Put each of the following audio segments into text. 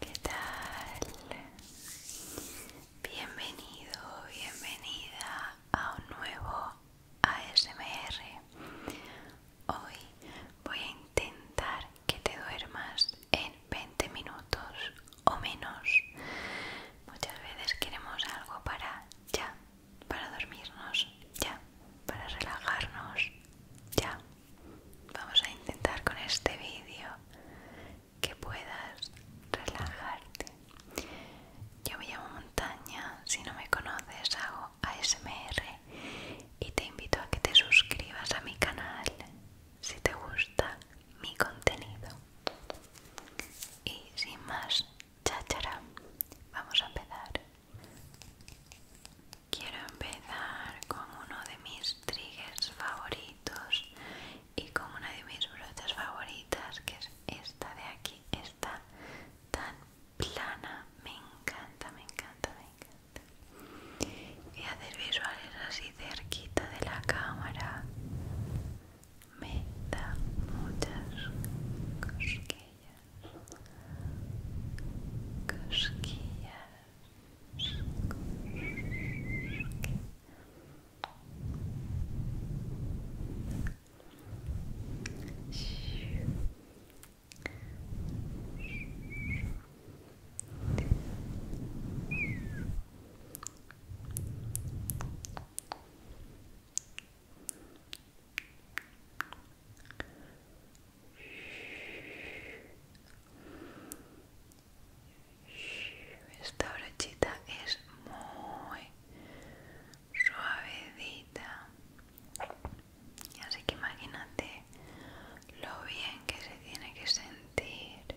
¿Qué tal? Bienvenido, bienvenida a un nuevo ASMR. Hoy voy a intentar que te duermas en 20 minutos o menos. Muchas veces queremos algo para ya, para dormirnos ya, para relajarnos ya. Vamos a intentar con este vídeo que puedas relajarte. Yo me llamo Montaña, si no me conoces hago ASMR y te invito a que te suscribas a mi canal si te gusta mi contenido. Y sin más cháchara, vamos a empezar. Quiero empezar con uno de mis triggers favoritos y con una de mis brochas favoritas, que es esta de aquí, está tan plana. Me encanta, me encanta, me encanta y hacer visuales así cerquita de la cámara me da muchas cosquillas cosquillas esta brochita es muy suavedita. Así que imagínate lo bien que se tiene que sentir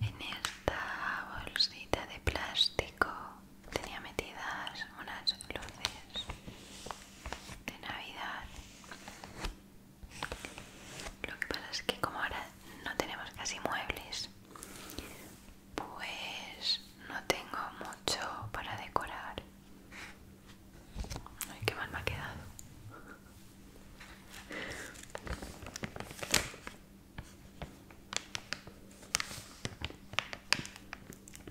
En esta bolsita de plástico tenía metidas unas luces de Navidad. Lo que pasa es que como ahora no tenemos casi muebles, pues no tengo mucho para decorar. Ay, qué mal me ha quedado.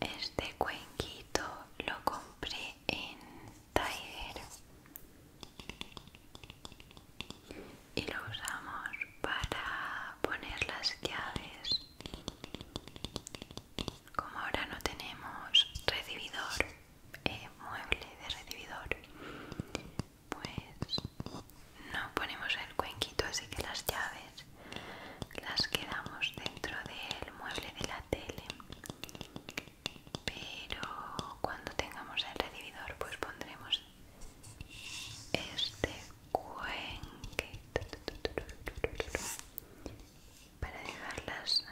Este cuenquito lo compré en Tiger y lo usamos para poner las llaves como ahora no tenemos recibidor, mueble de recibidor, pues no ponemos el cuenquito, así que las llaves las quedamos dentro del mueble de la tele. Pero cuando tengamos el recibidor, pues pondremos este cuenquito para dejarlas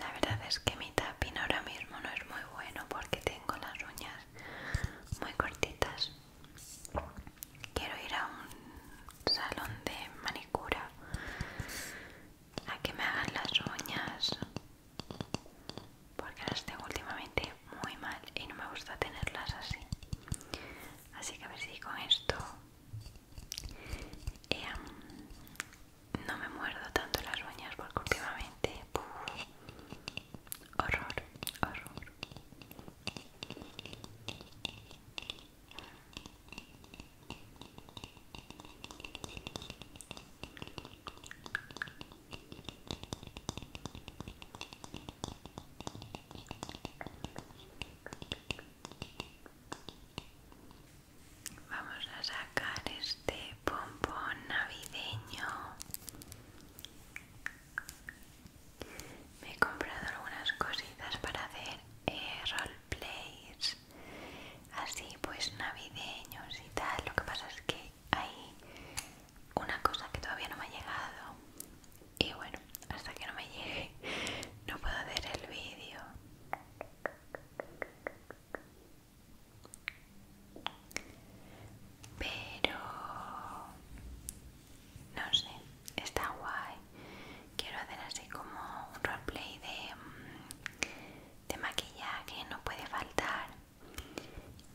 la verdad es que mi tapín ahora mismo no es muy bueno porque tengo las uñas muy cortitas quiero ir a un salón de manicura a que me hagan las uñas porque las tengo últimamente muy mal y no me gusta tenerlas así así que a ver si con esto em, no me muerdo tanto las uñas porque últimamente horror horror Vamos a sacar este pompón navideño. Me he comprado algunas cositas para hacer eh, roleplays así pues navideños y tal. Lo que pasa es que hay una cosa que todavía no me ha llegado y bueno, hasta que no me llegue no puedo hacer el vídeo. Pero no sé, está guay quiero hacer así como un roleplay de, mm, de maquillaje, no puede faltar.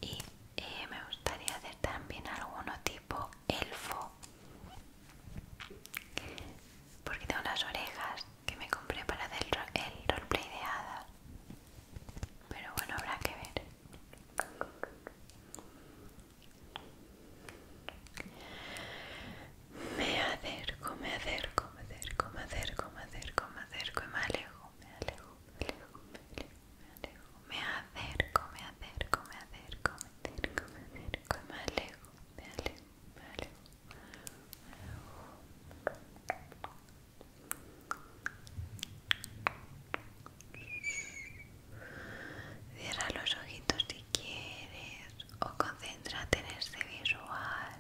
Y eh, me gustaría hacer también alguno tipo elfo. Porque tengo las orejas que me compré para hacer el roleplay de hadas. Pero bueno, habrá que ver. Me acerco, me acerco, me acerco, me acerco, me acerco, me acerco me alejo, me alejo, me alejo, me alejo, me alejo, me acerco, me acerco, me acerco, me acerco, me acerco alejo, me alejo, me alejo, me alejo. Cierra los ojitos si quieres o concéntrate en este visual,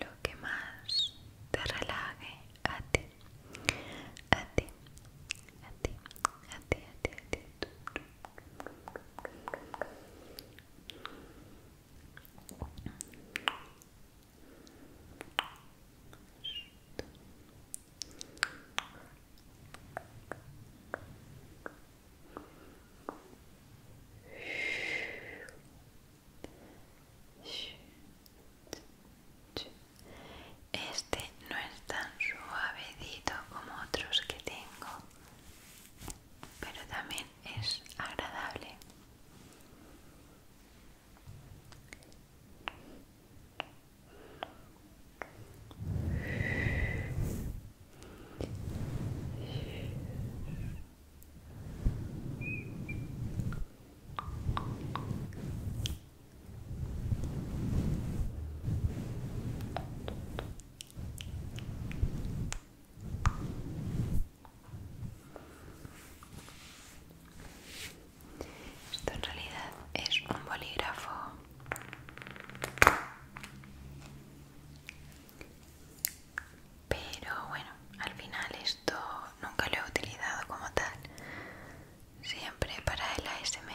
lo que más te relaje a ti, a ti, a ti, a ti, a ti, a ti. Este no es tan suavedito como otros que tengo, pero también es agradable. Esto en realidad es un bolígrafo pero bueno, al final esto nunca lo he utilizado como tal. Siempre para el ASMR.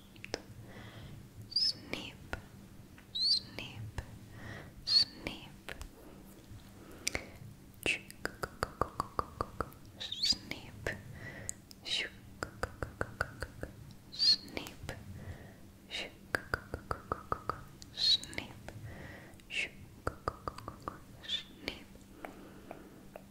Snip, snip, snip. Snip, snip, snip, snip. Snip,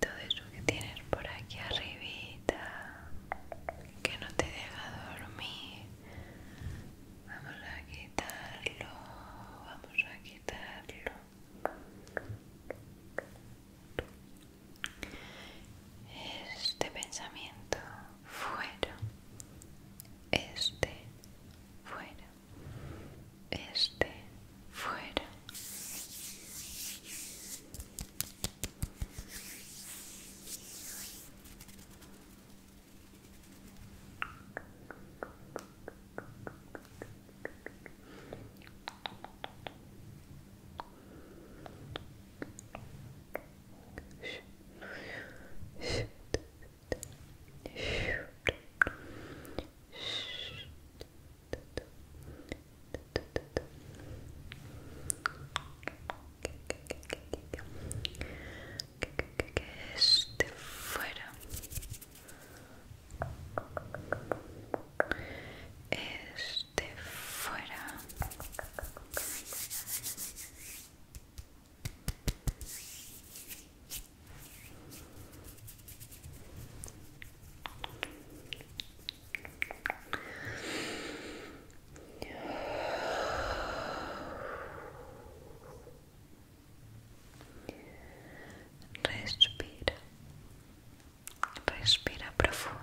todo eso que tienes por aquí arribita que no te deja dormir vamos a quitarlo vamos a quitarlo este pensamiento fuera este fuera este fuera que, este fuera este fuera Respira, respira profundo.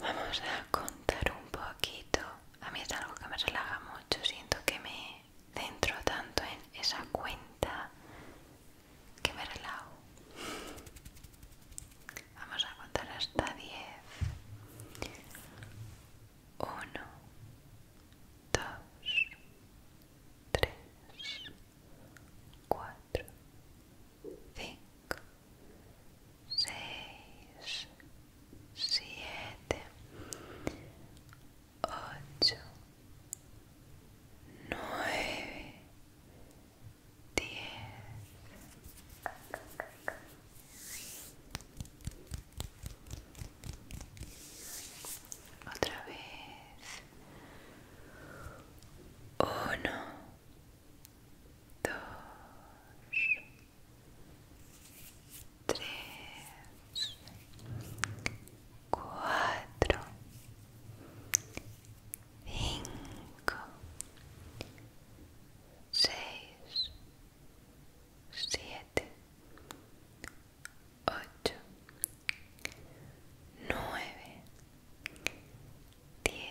Vamos a contar un poquito. A mí es algo que me relaja mucho. Siento que me centro tanto en esa cuenta que me relajo. Vamos a contar hasta 10. 1, 2, 3, 4, 5, cinco, seis, siete, ocho, nueve, diez. Otra vez. Uno, dos, tres, cuatro, cinco, seis, siete, ocho, nueve, diez.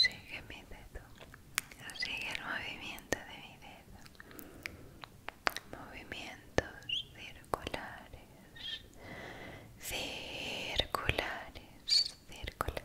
Sigue mi dedo, sigue el movimiento de mi dedo. Movimientos circulares, circulares, circulares.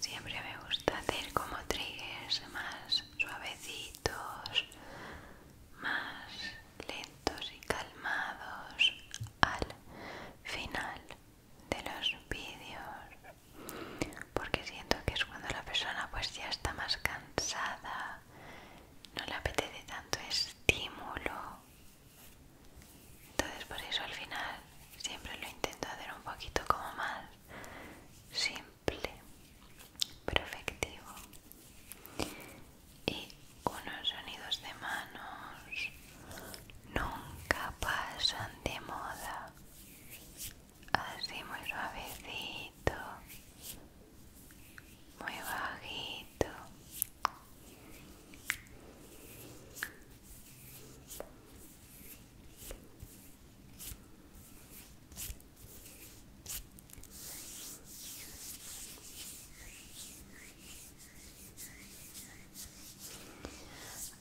Siempre me gusta hacer como triggers más suavecitos, más lentos y calmados al final de los vídeos porque siento que es cuando la persona pues ya está más cansada no le apetece tanto estímulo entonces por eso al final siempre lo intento hacer un poquito como más simple simple y unos sonidos de manos nunca pasan de moda así muy suavecito muy bajito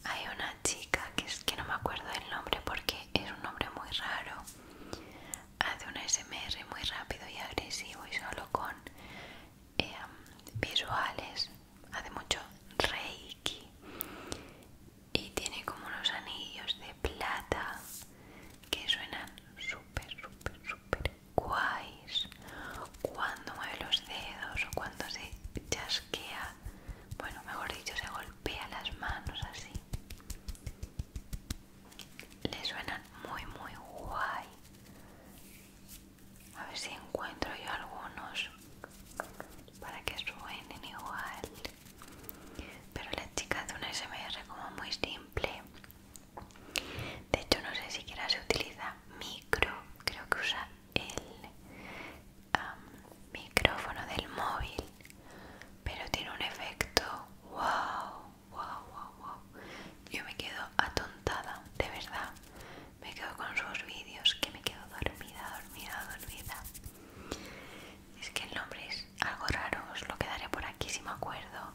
hay una chica que es que no me acuerdo del nombre porque es un nombre muy raro. Hace un SMR muy rápido y agresivo y solo con eh, visuales. Hace mucho reiki y tiene como unos anillos de plata que suenan súper, súper, súper guays cuando mueve los dedos o cuando se chasquea, bueno, mejor dicho, se golpea las manos así. Le suenan muy, muy guay. A ver si encuentro yo algunos para que suenen igual pero la chica hace una SMR como muy simple de hecho no sé siquiera se utiliza micro creo que usa el micrófono del móvil pero tiene un efecto wow wow wow wow yo me quedo atontada de verdad me quedo con sus vídeos que me quedo dormida dormida dormida es que el nombre es algo raro, os lo quedaré por aquí si me acuerdo.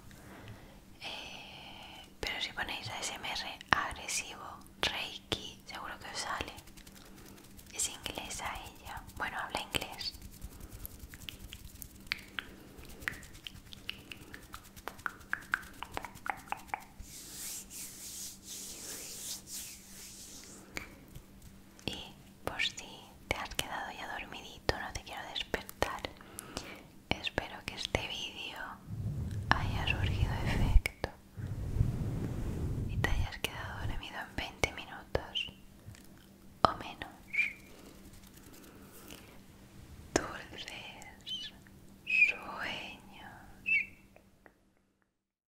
Eh, pero si ponéis ASMR agresivo, Reiki, seguro que os sale. Es inglesa ella. Bueno, habla inglés y por si te has quedado ya dormidito, no te quiero despertar. Espero que este vídeo haya surgido efecto y te hayas quedado dormido en 20 minutos o menos. Dulces sueños.